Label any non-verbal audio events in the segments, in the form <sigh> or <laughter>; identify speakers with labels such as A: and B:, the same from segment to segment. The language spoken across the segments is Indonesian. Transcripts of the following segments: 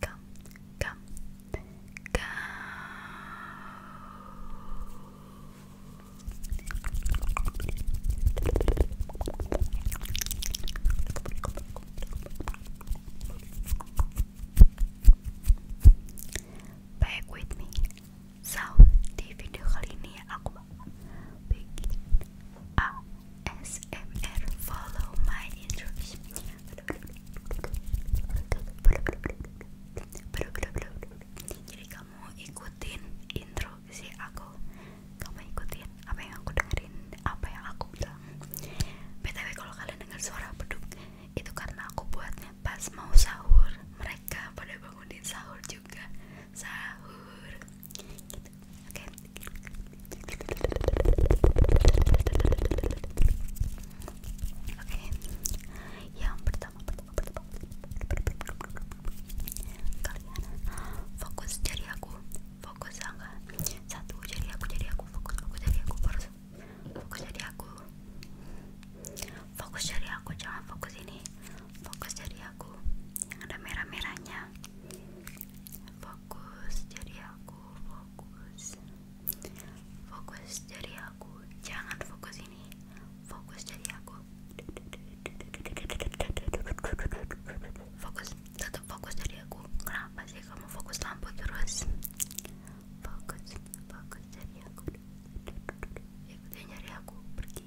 A: come, come, come. Back with me. So, di video kali ini aku bakal bikin AS ASMR follow my instruction jadi kamu ikutin instruksi aku kamu ikutin apa yang aku dengerin apa yang aku bilang btw kalau kalian dengar suara beduk itu karena aku buatnya pas mau sahur mereka pada bangunin sahur juga sahur gitu. Oke, yang pertama, fokus jadi aku, fokus angka satu jari aku, jari aku, fokus, fokus jari aku, fokus jari aku, jangan fokus ini, fokus jari aku yang ada merah merahnya, fokus jadi aku fokus fokus dari aku jangan fokus ini fokus jadi aku fokus tetap fokus jadi aku kenapa sih kamu fokus lampu terus fokus fokus jadi aku ikutin nyari aku pergi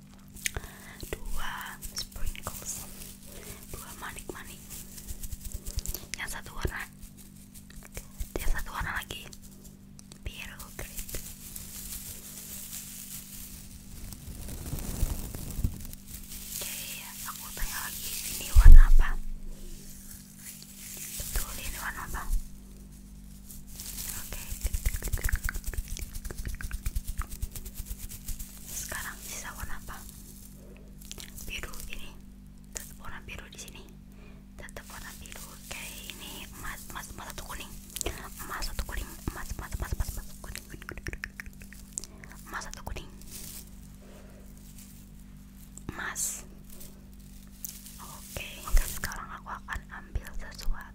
A: dua sprinkles dua manik-manik yang satu warna yang satu warna lagi biru grape oke aku tanya lagi ini warna apa betul ini warna apa sekarang sisa warna apa? Biru ini. Tetap warna biru di sini. Tetap warna biru. Kayak ini emas, emas, emas satu kuning. Emas satu kuning. Emas, emas, emas, emas, satu kuning. Emas satu kuning. Emas. Oke, okay. sekarang aku akan ambil sesuatu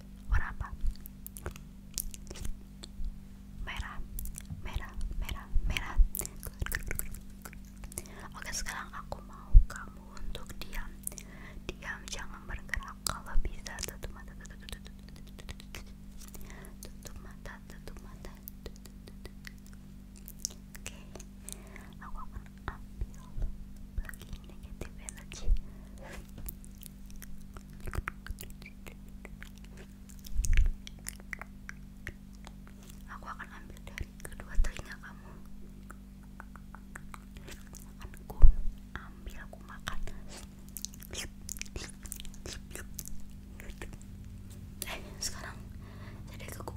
A: warna apa merah merah merah merah oke sekarang aku mau kamu untuk diam diam jangan bergerak kalau bisa tutup mata tutup mata tutup mata tutup mata oke aku akan ambil lagi negatif energi Aku akan ambil dari kedua telinga kamu. Akan ambil aku makan. Eh, sekarang jadi ke aku.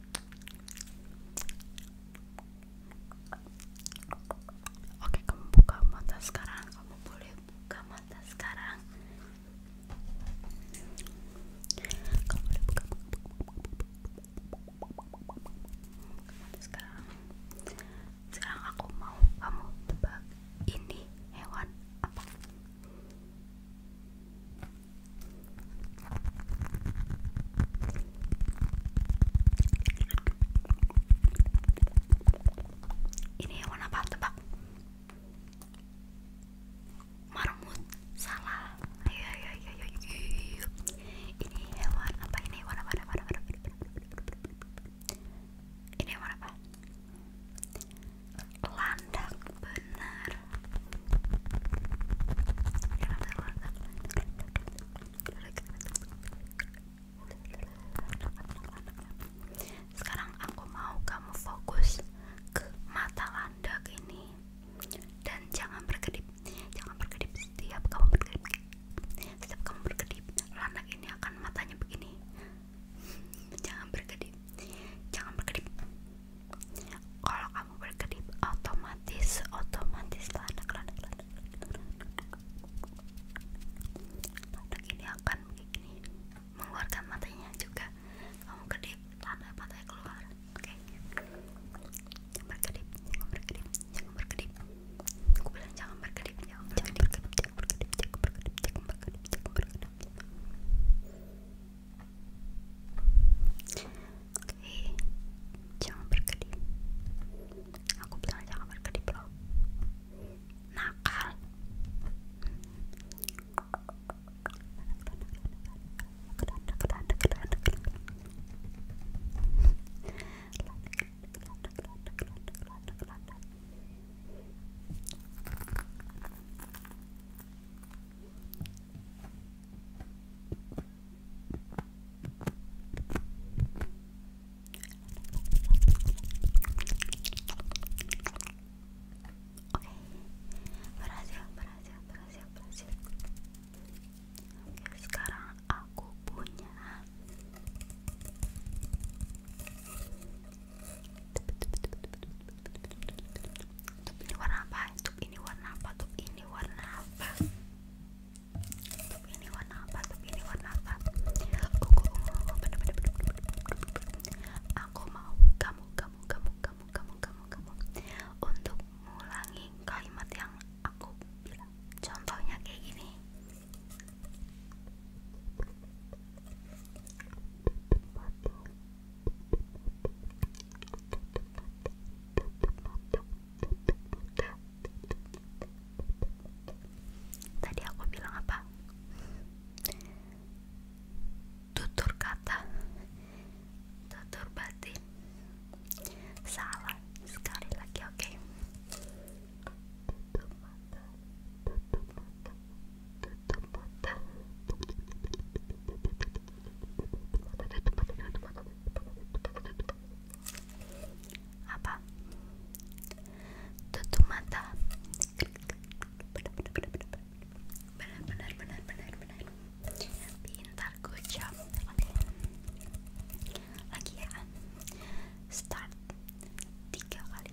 A: Oke, kamu buka mata sekarang. Kamu boleh buka mata sekarang. Kamu boleh buka, buka, buka, buka mata sekarang. Sekarang aku mau kamu tebak ini hewan apa? Ini warna apa? Tebak. Marmut. Salah. Iya, iya, iya, Ini hewan apa? Ini hewan apa? Ini hewan Ini hewan apa? landak benar sekarang aku mau kamu fokus ke mata landak ini dan jangan berkedip jangan berkedip setiap kamu berkedip setiap kamu berkedip landak ini akan matanya begini jangan berkedip jangan berkedip kalau kamu berkedip otomatis otomatis landak anak anak landak ini akan mengeluarkan matanya juga kamu kedip landak matanya keluar oke jangan berkedip jangan berkedip jangan berkedip jangan jangan berkedip jangan jangan berkedip jangan berkedip jangan berkedip, jangan berkedip. Oke, jangan berkedip. Aku bilang jangan berkedip loh. Nakal. Oke, berhasil, berhasil, berhasil, berhasil. sekarang aku punya Tup ini warna apa? Tup ini warna apa? Tup ini warna apa? Tup ini warna apa? Tup ini warna apa? Aku mau kamu, kamu, kamu, kamu, kamu, kamu, kamu untuk mengulangi kalimat yang aku bilang. Contohnya kayak gini. Tadi aku bilang apa? Tutur kata, tutur batin, salah sekali lagi. Oke, apa tutup mata benar benar benar benar benar pintar good job okay. lagi ya start tiga kali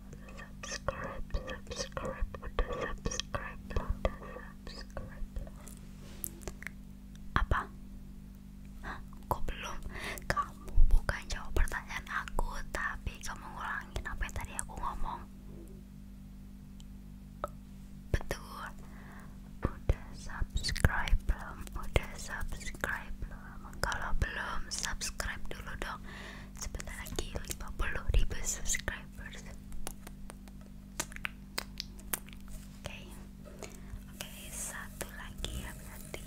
A: subscribe subscribe udah subscribe udah subscribe apa Hah, kok belum kamu bukan jawab pertanyaan aku tapi kamu ngulangin apa yang tadi aku ngomong betul udah subscribe belum udah subscribe belum kalau belum subscribe dulu dong sebentar lagi 50 ribu subscribers oke oke satu lagi ya berarti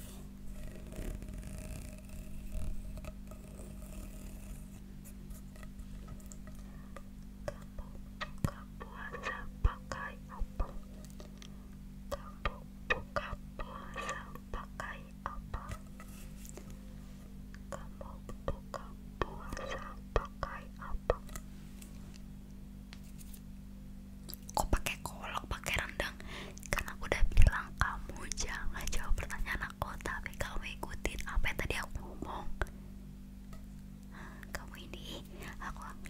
A: buka puasa pakai apa buka puasa pakai apa pakai apa pakai rendang karena udah bilang kamu jangan coba pertanyaan aku tapi kamu ikutin apa yang tadi aku ngomong kamu ini aku akan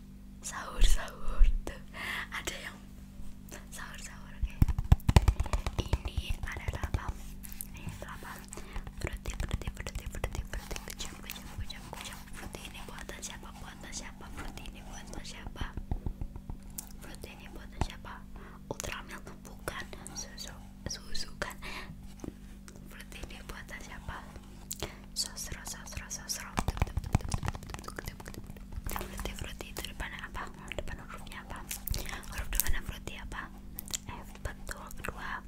A: sahur sahur tuh ada yang sahur sahur kayak ini ada delapan ini delapan berarti berarti berarti berarti berarti kejam kejam kejam kejam berarti ini buatan siapa buatan siapa berarti ini buatan siapa berarti ini buatan siapa ultramilk bukan susu susu kan berarti ini buatan siapa sosro sosro sosro frutti frutti itu depan apa? depan hurufnya apa? huruf depan frutti apa? F betul kedua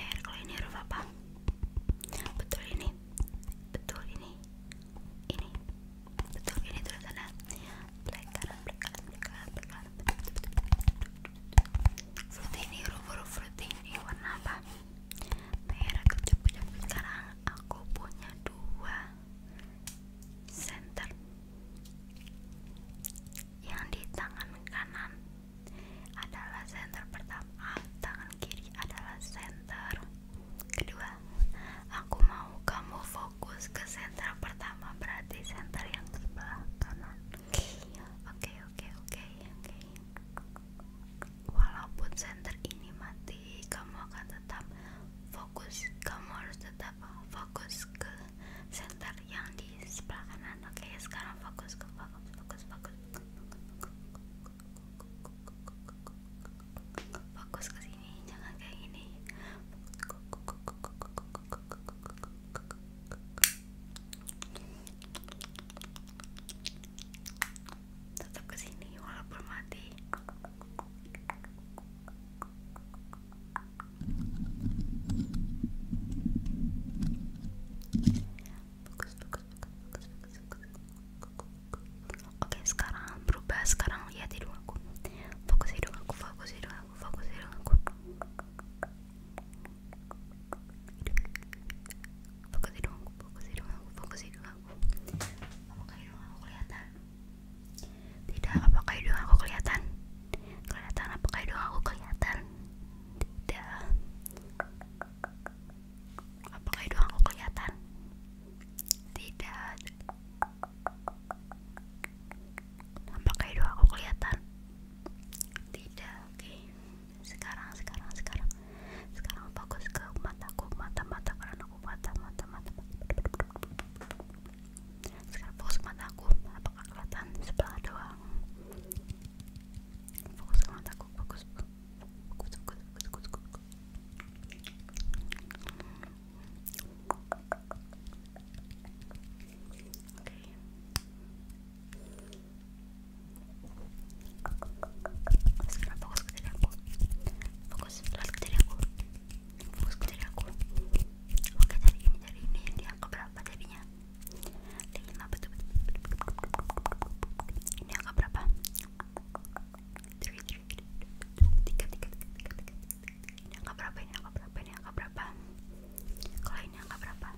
A: R kalau ini huruf apa? betul ini betul ini ini betul ini tulisannya black kanan black kanan black kanan black kanan frutti ini huruf huruf frutti ini warna apa? merek kecap-kecap sekarang aku punya dua center yang di tangan kanan adalah center pertama tangan kiri adalah center kedua aku mau kamu fokus ke center pertama berarti center yang sebelah kanan oke oke oke oke walaupun center ini mati kamu akan tetap fokus kamu harus tetap fokus ke center yang di sebelah kanan oke sekarang fokus ke fokus fokus fokus fokus ke sini jangan kayak ini tetap kesini walaupun mati oke sekarang berubah sekarang lihat hidung aku fokus hidung aku fokus hidung aku fokus hidung aku fokus hidung aku fokus hidung aku aku apakah hidung aku kelihatan tidak apakah hidung aku kelihatan kelihatan apakah hidung aku kelihatan tidak apakah hidung aku kelihatan tidak apakah hidung aku kelihatan tidak sekarang sekarang sekarang sekarang fokus ke mataku mata mata karena aku mata mata mata sekarang fokus ke mataku apakah kelihatan sebelah doang fokus ke mataku fokus fokus fokus fokus fokus, fokus. Oke, okay sekarang fokus ke fokus selalu fokus ke oke dari ini dari ini di angka berapa jadinya lima betul ini angka berapa tiga tiga tiga tiga ini angka berapa ini angka berapa ini angka berapa kalau ini angka berapa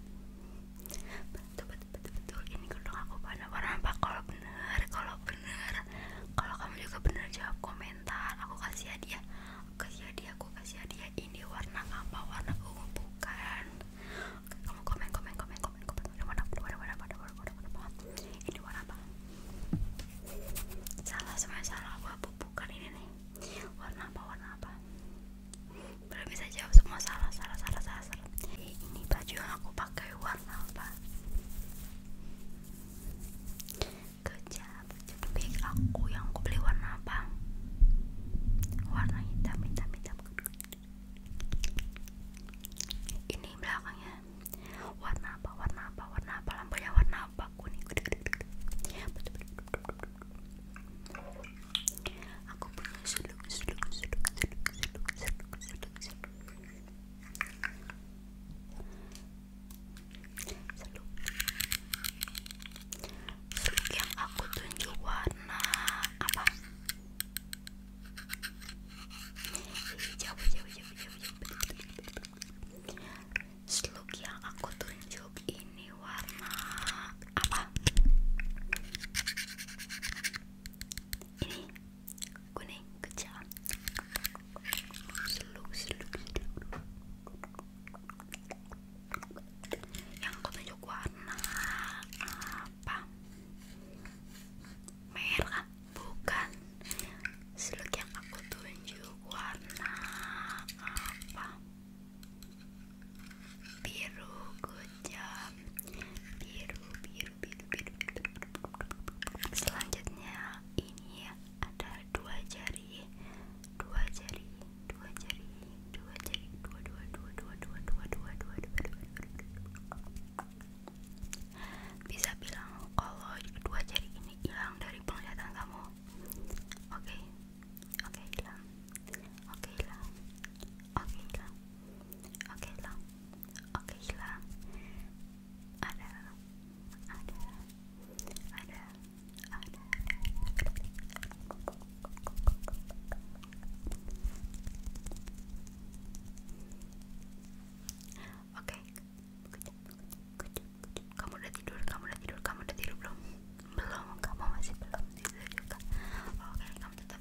A: tuh betul-betul ini kerudung aku warna-warna apa kalau bener kalau bener kalau kamu juga bener jawab komentar aku kasih hadiah kasih hadiah aku kasih hadiah ini warna apa warna ungu kamu komen komen komen komen komen warna warna warna warna warna warna ini warna apa salah semuanya salah aku bukan ini nih warna apa warna apa belum bisa jawab semua salah salah salah salah ini baju yang aku pakai warna apa kejap bag aku yang aku beli warna apa warna hitam hitam hitam ini belakangnya warna apa warna apa warna apa lampunya warna apa kuning aku punya seluk seluk seluk seluk yang aku tunjuk apa hijau yang aku tunjuk ini warna apa ini kuning kecil seluk seluk yang aku tunjuk warna apa merah bukan seluk yang aku tunjuk warna apa biru kujam biru biru biru biru selanjutnya ini ada dua jari dua jari dua jari dua jari dua dua dua dua dua dua dua dua dua bisa bilang kalau dua jari ini hilang dari penglihatan kamu oke okay. oke okay, hilang oke okay, hilang oke okay, hilang Oke okay, Oke okay, Ada. Ada. Ada. Ada. Oke. Kamu udah tidur, kamu udah tidur, kamu udah tidur belum? Belum, kamu masih belum tidur juga. Oke, kamu tetap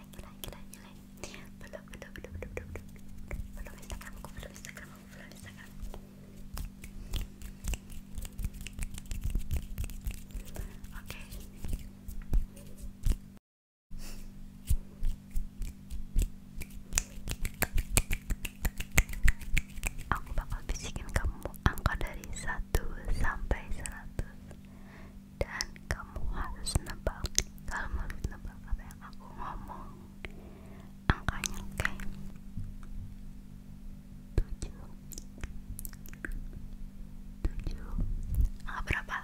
A: belum belum belum belum belum belum aku belum oke aku bakal bisikin kamu angka dari satu sampai 100 dan kamu harus nebak kalau mau nebak apa yang aku ngomong angkanya oke okay? tujuh tujuh angka berapa?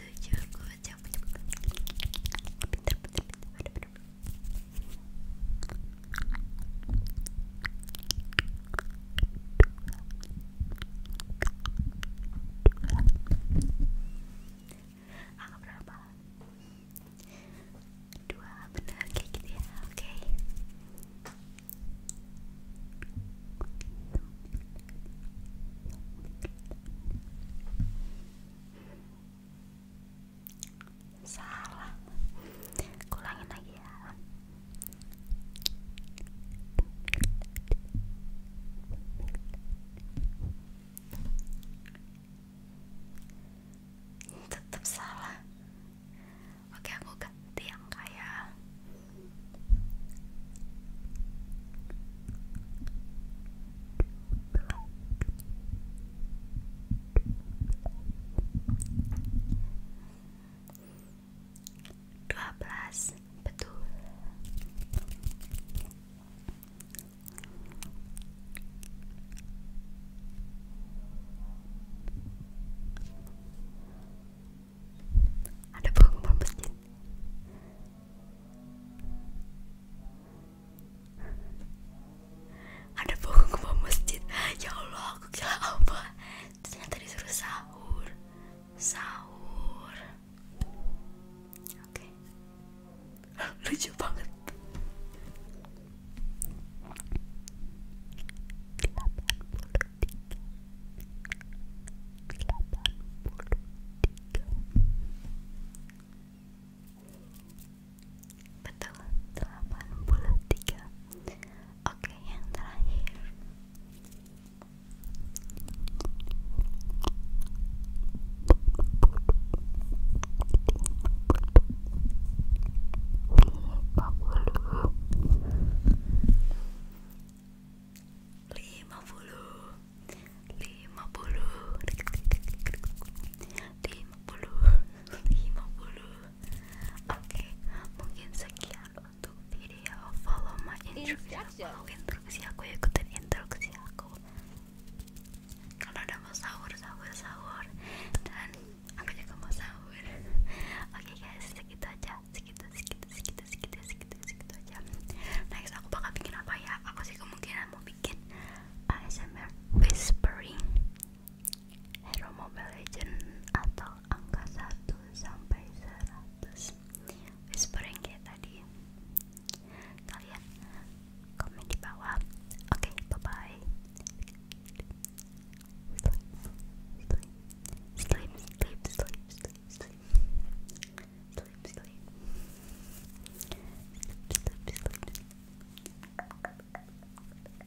A: tujuh gue jawab pintar pintar pintar Angka berapa? Dua, benar kayak gitu ya, oke okay. Salah, kurangin lagi ya tetap salah oke aku ganti yang kayak 12 betul ada pengumuman masjid ada pengumuman masjid ya Allah aku kira apa ternyata disuruh sahur sahur oke <laughs> lucu banget Betul, 83 Oke, yang terakhir. Lima puluh, lima puluh, lima puluh, lima puluh, Oke, mungkin sekian untuk video. Follow my instruksi aku, instruksi aku ikutin instruksi aku. Kalau udah mau sahur, sahur, sahur, dan aku juga mau sahur. Oke guys, segitu aja, segitu, segitu, segitu, segitu, segitu, segitu aja. Next aku bakal bikin apa ya? Aku sih kemungkinan mau bikin ASMR whispering hero Mobile Legend atau angka satu sampai 100 whispering kayak tadi kalian komen di bawah oke okay, bye bye sleep sleep sleep sleep sleep sleep sleep sleep sleep sleep sleep sleep